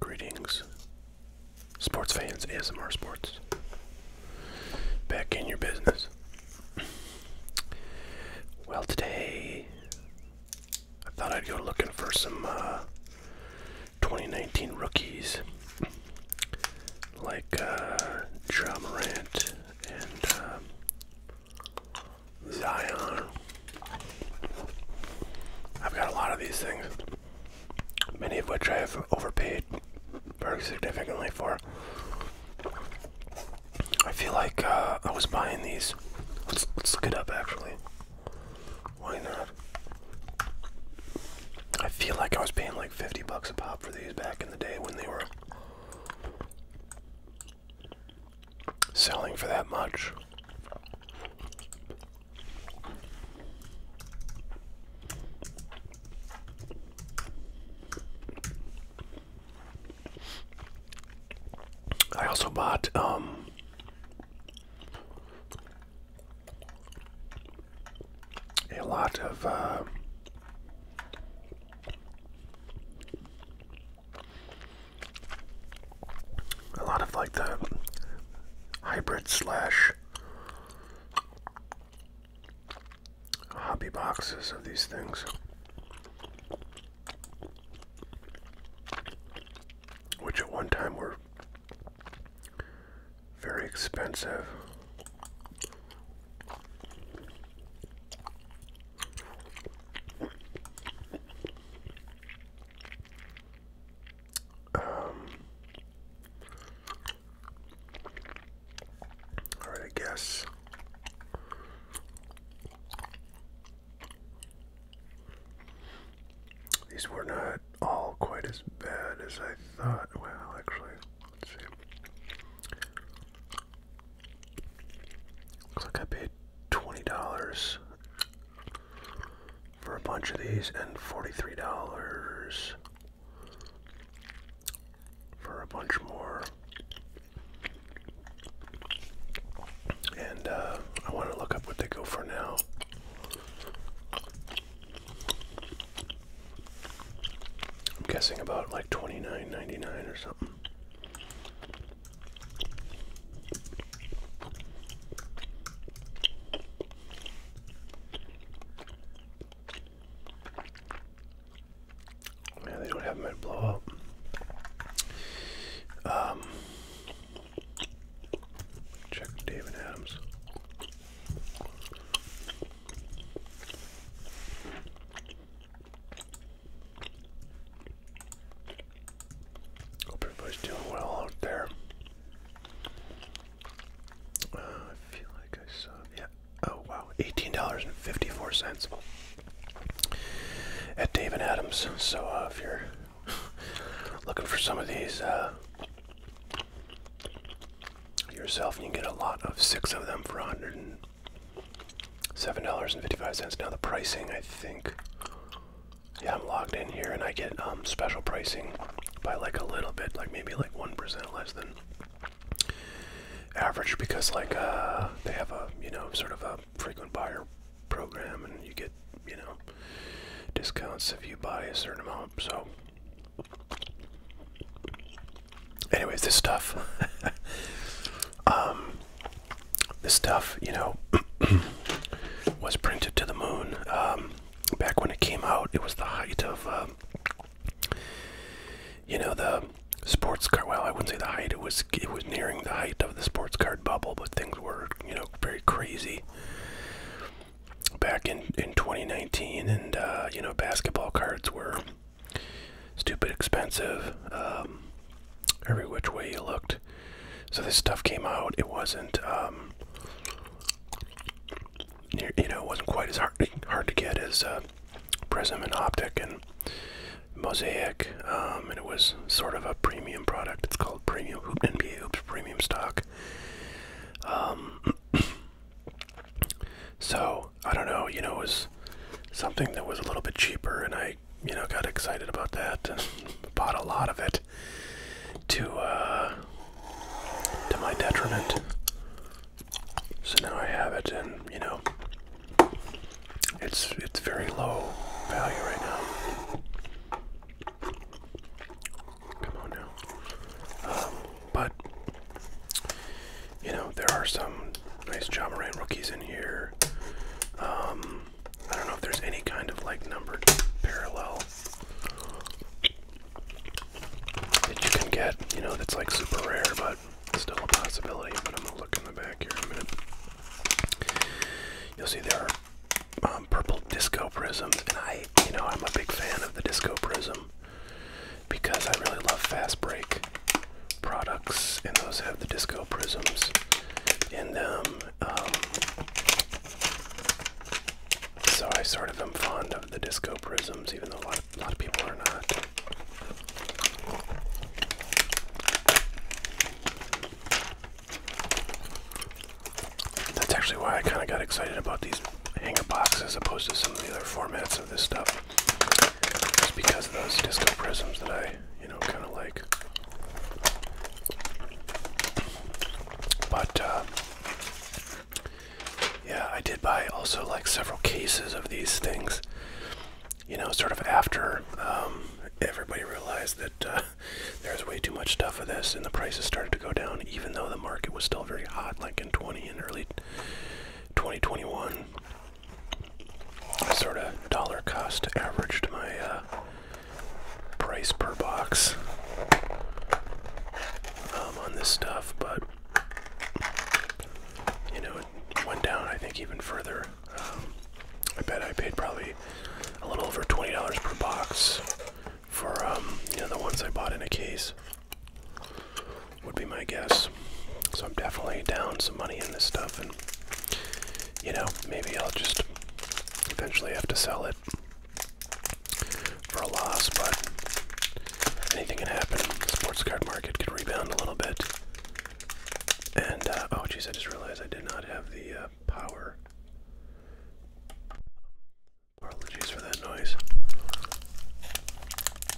Greetings, sports fans, ASMR Sports. Back in your business. Well, today I thought I'd go looking for some uh, 2019 rookies like uh, Ja and uh, Zion. I've got a lot of these things, many of which I have overpaid very significantly for. I feel like uh, I was buying these. Let's, let's look it up actually. Why not? I feel like I was paying like 50 bucks a pop for these back in the day when they were selling for that much. I also bought um a lot of uh, a lot of like the hybrid slash hobby boxes of these things which at one time were very expensive. Um, all right, I guess. These were not all quite as bad as I thought. Well, actually, let's see. Looks like I paid $20 for a bunch of these and $43 for a bunch more. And uh, I want to look up what they go for now. I'm guessing about like twenty nine ninety nine or something. Yeah, they don't have them at blowout. Um, Check David Adams. Hope everybody's doing well out there. Uh, I feel like I saw, yeah. Oh wow, eighteen dollars and fifty-four cents at David Adams. So uh, if you're looking for some of these uh, yourself, you can get a lot of six of them for $107.55. Now, the pricing, I think, yeah, I'm logged in here, and I get um, special pricing by like a little bit, like maybe like 1% less than average because like uh, they have a you know sort of a frequent buyer program and you get, you know, discounts if you buy a certain amount. So, anyways, this stuff, um, this stuff, you know, was printed to the moon. Um, back when it came out, it was the height of, uh, you know, the sports card. Well, I wouldn't say the height. It was it was nearing the height of the sports card bubble, but things were you know very crazy back in in 2019, and uh, you know basketball cards were stupid expensive um, every which way you looked. So this stuff came out. It wasn't um, you know it wasn't quite as hard hard to get as uh, Prism and Optic and Mosaic um, and it was sort of a premium product. It's called Premium Hoop NBA Hoops Premium Stock. Um, so I don't know, you know, it was something that was a little bit cheaper, and I, you know, got excited about that and bought a lot of it to uh, to my detriment. So now I have it, and you know, it's it's very low value right now. Come on now. Um, but you know there are some nice Ja Morant rookies in here. Um, I don't know if there's any kind of like numbered parallel that you can get. You know that's like super rare, but still a possibility. But I'm gonna look in the back here in a minute. You'll see there are um, purple disco prisms, and I, you know, I'm a big fan of the disco prism because I really love fast break products, and those have the disco prisms in them. Um, so I sort of am fond of the disco prisms, even though a lot of people are not. That's actually why I kind of got excited about these hanger boxes as opposed to some of the other formats of this stuff. Just because of those disco prisms that I, you know, kind of like. But, uh, yeah, I did buy also like several cases of these things you know, sort of after um, everybody realized that uh, there was way too much stuff of this and the prices started to go down, even though the market was still very hot, like in 20 and early 2021. sort of dollar cost averaged my uh, price per box um, on this stuff, but you know, it went down, I think, even further I bet I paid probably a little over twenty dollars per box for um, the ones I bought in a case. Would be my guess. So I'm definitely down some money in this stuff, and you know maybe I'll just eventually have to sell it for a loss. But anything can happen. The sports card market could rebound a little bit. And, uh, oh jeez, I just realized I did not have the uh, power. Apologies for that noise.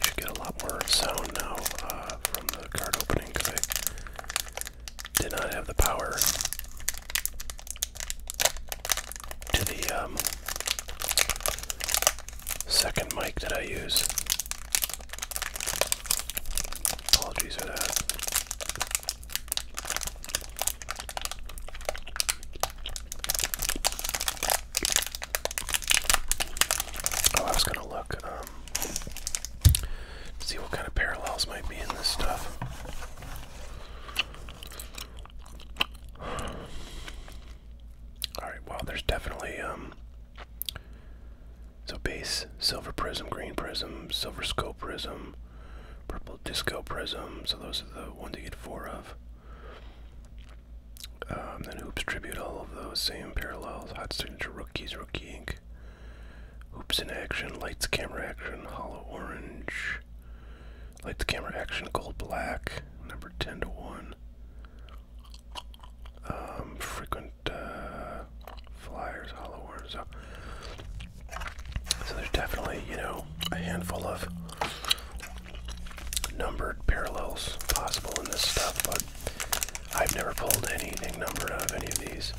should get a lot more sound now uh, from the card opening because I did not have the power to the um, second mic that I use. Apologies for that. Oh, I was gonna look, um, see what kind of parallels might be in this stuff. Alright, well, there's definitely, um, so base, silver prism, green prism, silver scope prism, purple disco prism. So those are the ones you get four of. Um, then hoops tribute all of those same parallels. Hot signature rookies, rookie ink. Hoops in action, lights, camera action, hollow orange. Lights, camera action, gold, black. Number 10 to 1. Um, frequent uh, flyers, hollow worms. So. so there's definitely, you know, a handful of numbered parallels possible in this stuff, but I've never pulled anything numbered out of any of these.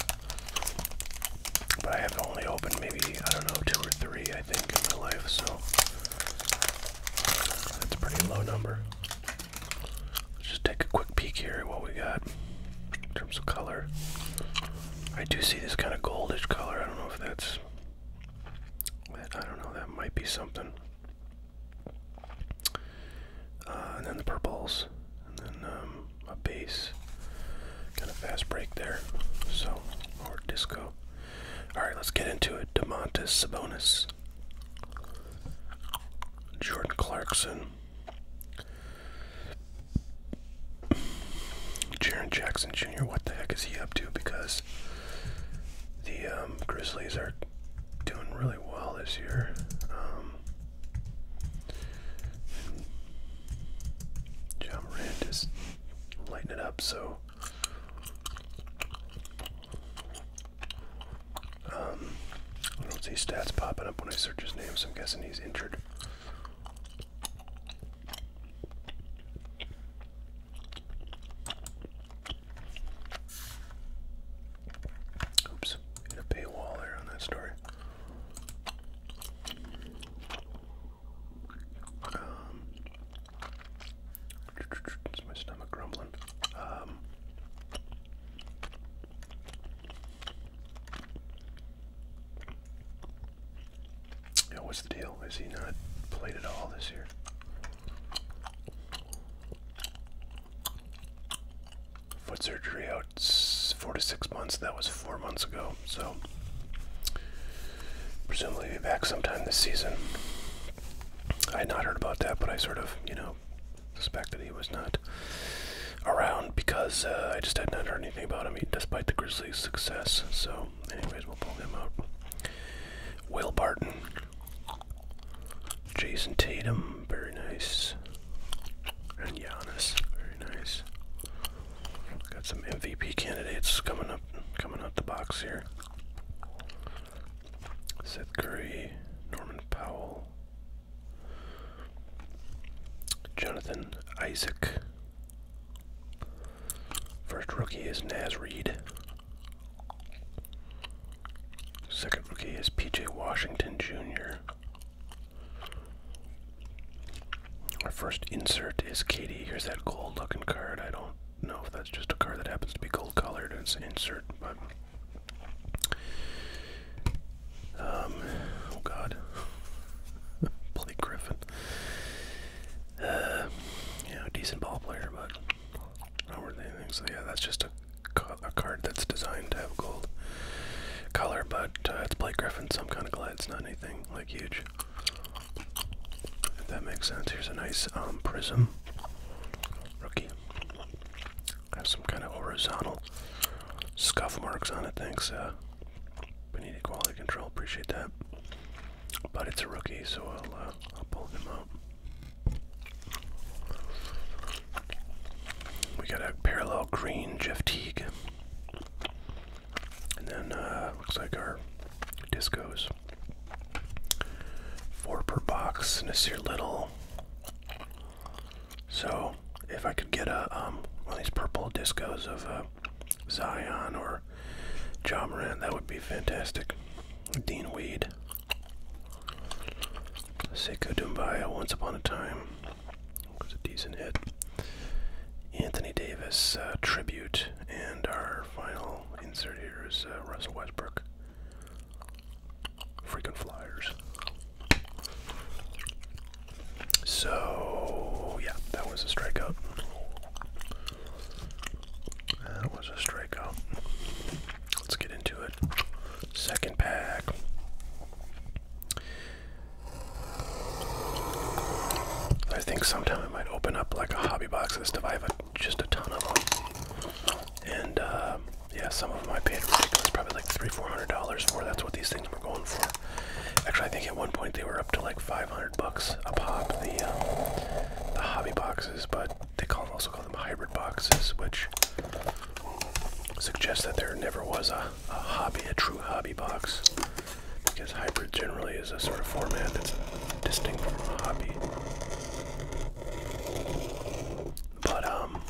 But I have only opened maybe, I don't know, two or three, I think, in my life, so that's a pretty low number. Let's just take a quick peek here at what we got in terms of color. I do see this kind of goldish color. I don't know if that's. I don't know. That might be something. Uh, and then the purples, and then um, a base. Kind of fast break there. So, or disco. All right, let's get into it. Demontis Sabonis. Jordan Clarkson, Jaron Jackson Jr. What the heck is he up to? Because the um, Grizzlies are doing really well this year. Um, John Moran just lighting it up, so um, I don't see stats popping up when I search his name, so I'm guessing he's injured. Oops, hit a paywall there on that story. Um, is my stomach grumbling? Um, yeah, what's the deal? Is he not played at all this year? Foot surgery out four to six months. That was four months ago. So, presumably, be back sometime this season. I had not heard about that, but I sort of, you know, suspect that he was not around because uh, I just had not heard anything about him despite the Grizzlies' success. So, anyways, we'll pull him out. Will Barton, Jason Tatum, very nice, and Giannis, very nice. Got some MVP candidates coming up, coming out the box here. Seth Curry, Norman Powell, Jonathan Isaac. First rookie is Nas Reed. Second rookie is PJ Washington Jr. Our first insert is Katie. Here's that gold looking card. I don't know if that's just a card that happens to be gold colored. It's an insert, but um, oh God, Blake Griffin. Uh, you know, decent ball player, but not worth anything. So yeah, that's just a a card that's designed to have gold color, but uh, it's Blake Griffin, so I'm kind of glad it's not anything like huge. If that makes sense. Here's a nice um, prism rookie. Has some kind of horizontal scuff marks on it. Thanks, We uh, need Quality Control. Appreciate that. But it's a rookie, so uh, I'll, pull him out. We got a parallel green Jeff Teague. And then, uh, looks like our discos. Four per box, and it's your little. So, if I could get a um, one of these purple discos of uh, Zion or John Moran, that would be fantastic. Dean Weed, Seiko Dumbaya, Once Upon a Time was a decent hit. Anthony Davis uh, tribute, and our final insert here is uh, Russell Westbrook. Freaking flyers. So, yeah, that was a strike up. That was a strike up. Let's get into it. Second pack. I think sometime I might open up like a hobby box just to I have just a ton of them. And uh, yeah, some of them I paid ridiculous, probably like three, four hundred dollars for. That's what these things were going for. Actually, I think at one point they were up to like five hundred bucks a pop. The um, the hobby boxes, but they call also call them hybrid boxes, which suggests that there never was a, a hobby, a true hobby box, because hybrid generally is a sort of format that's distinct from a hobby. But, um,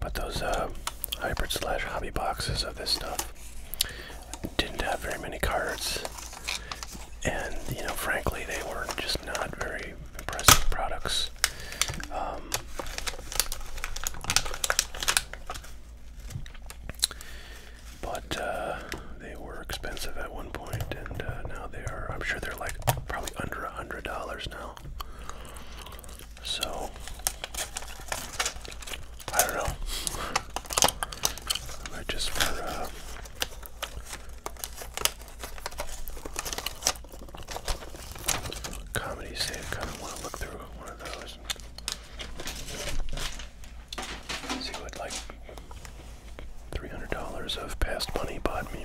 but those, uh, hybrid slash hobby boxes of this stuff. Didn't have very many cards, and you know, frankly, they were just not very impressive products. Um, but uh, they were expensive at one point, and uh, now they are. I'm sure they're like probably under a hundred dollars now. So I don't know. I might just for uh, comedy sake, kind of want to look through one of those see what like $300 of past money bought me.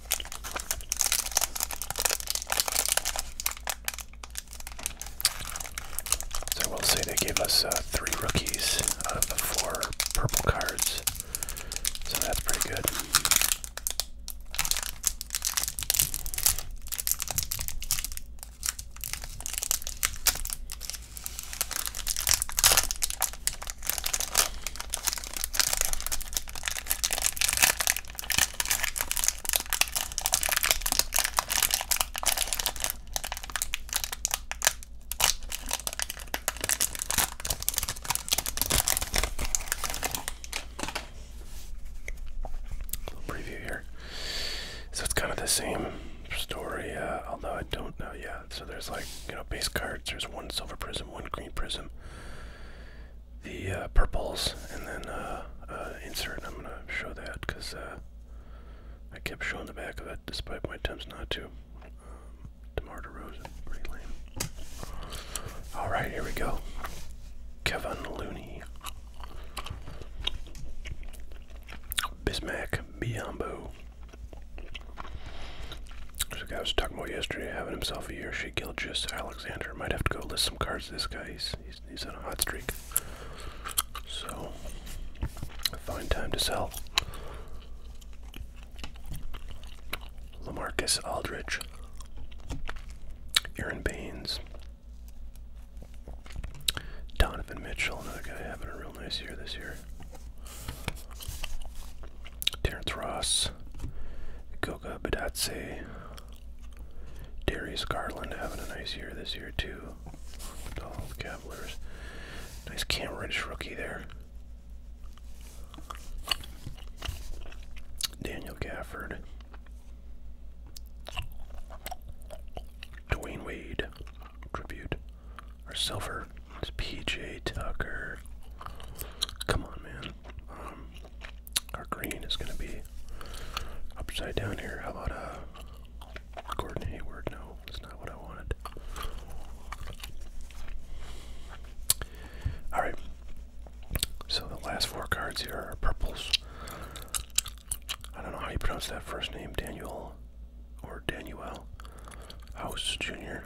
So we will say they gave us uh, three rookies out of the four purple cards. So that's pretty good. Little preview here. So it's kind of the same story, uh, although I don't know yet so there's like, you know, base cards. There's one silver prism, one green prism, the uh, purples, and then uh, uh insert. I'm going to show that because uh, I kept showing the back of it despite my attempts not to. Um, DeMar DeRozan, pretty lame. Alright, here we go. Kevin Looney. Bismac, Biombo. This guy was talking about yesterday having himself a year. She killed just Alexander. Might have to go list some cards. This guy, he's, he's, on a hot streak. So, a fine time to sell. Lamarcus Aldridge. Aaron Baines. Donovan Mitchell, another guy having a real nice year this year. Terence Ross, Goga Badatse, Darius Garland having a nice year this year too. All the Cavaliers. Nice Cam Reddish rookie there. Daniel Gafford. Dwayne Wade. Tribute. Or Silver. It's PJ Tucker. Come on, man. Um, our green is gonna be upside down here. How about uh, Gordon Hayward? No, that's not what I wanted. All right. So the last four cards here are purples. I don't know how you pronounce that first name, Daniel or Daniel House Jr.,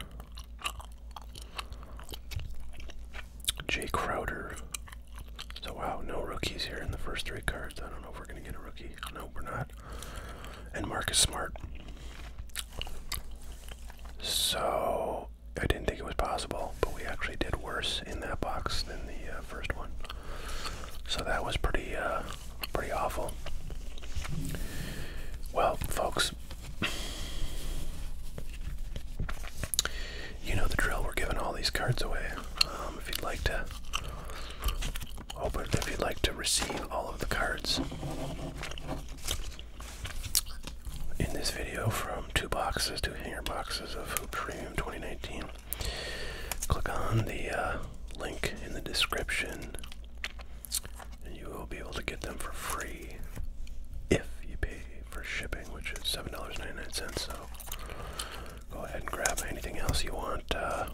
Jay Crowder. So, wow, no rookies here in the first three cards. I don't know if we're going to get a rookie. No, we're not. And Marcus Smart. So, I didn't think it was possible, but we actually did worse in that box than the uh, first one. So, that was pretty uh, Pretty awful. Well, folks, you know the drill. We're giving all these cards away. Um, if you'd like to open, if you'd like to receive all of the cards in this video from two boxes, two hanger boxes of Hoopstream 2019, click on the uh, link in the description and you will be able to get them for free if you pay for shipping, which is $7.99. So go ahead and grab anything else you want uh,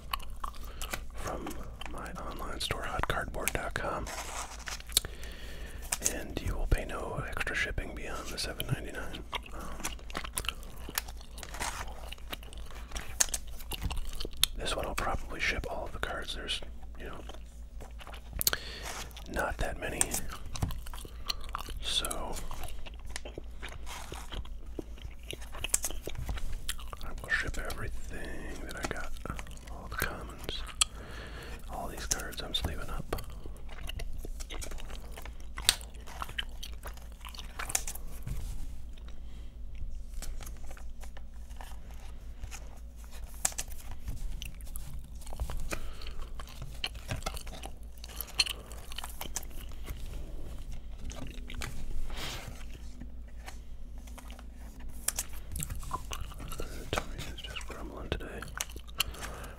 from my online store, hotcardboard.com. And you will pay no extra shipping beyond the $7.99. Um, this one will probably ship all of the cards. There's, you know, not that many. So, I will ship everything that I got. All the commons. All these cards I'm sleeving up. The tummy is just grumbling today.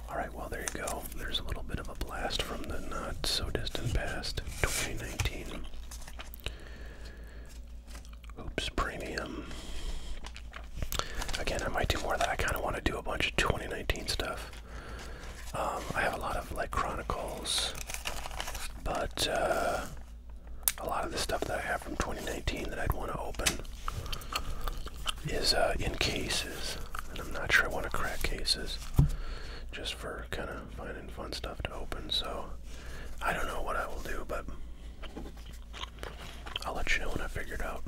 Alright, well, there you go. There's a little bit of a blast from the not so distant past, 2019. Oops, premium. Again, I might do more of that. I kind of want to do a bunch of 2019 stuff. Um, I have a lot of like Chronicles, but uh, a lot of the stuff that I have from 2019 that I'd want to open is uh, in cases. And I'm not sure I want to crack cases just for kind of finding fun stuff to open. So I don't know what I will do, but I'll let you know when I figure it out.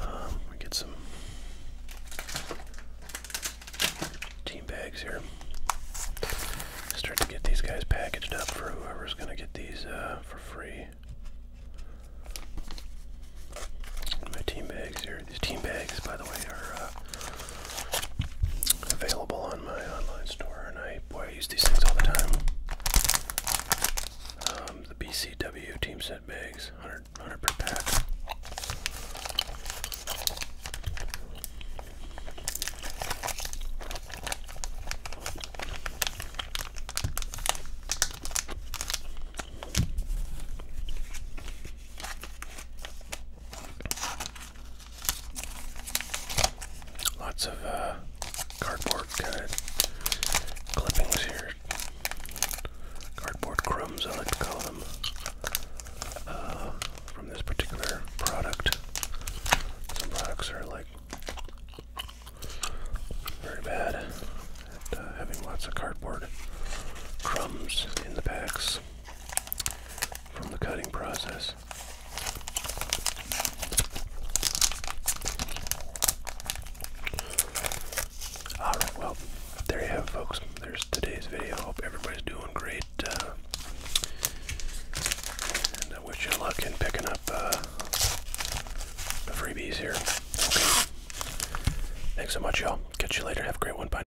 Um, we get some team bags here. Start to get these guys packaged up for whoever's gonna get these uh, for free. My team bags here. These team bags, by the way, are uh, available on my online store, and I boy use these things all the time. Um, the BCW team set bags, 100, 100 per pack. Lots of uh, cardboard kind uh, clippings here. Cardboard crumbs, I like to call them, uh, from this particular product. Some products are like very bad at having lots of cardboard crumbs in the packs from the cutting process. Alright, well, there you have folks. There's today's video. Hope everybody's doing great. Uh, and I wish you luck in picking up uh, the freebies here. Thanks so much, y'all. Catch you later. Have a great one. Bye.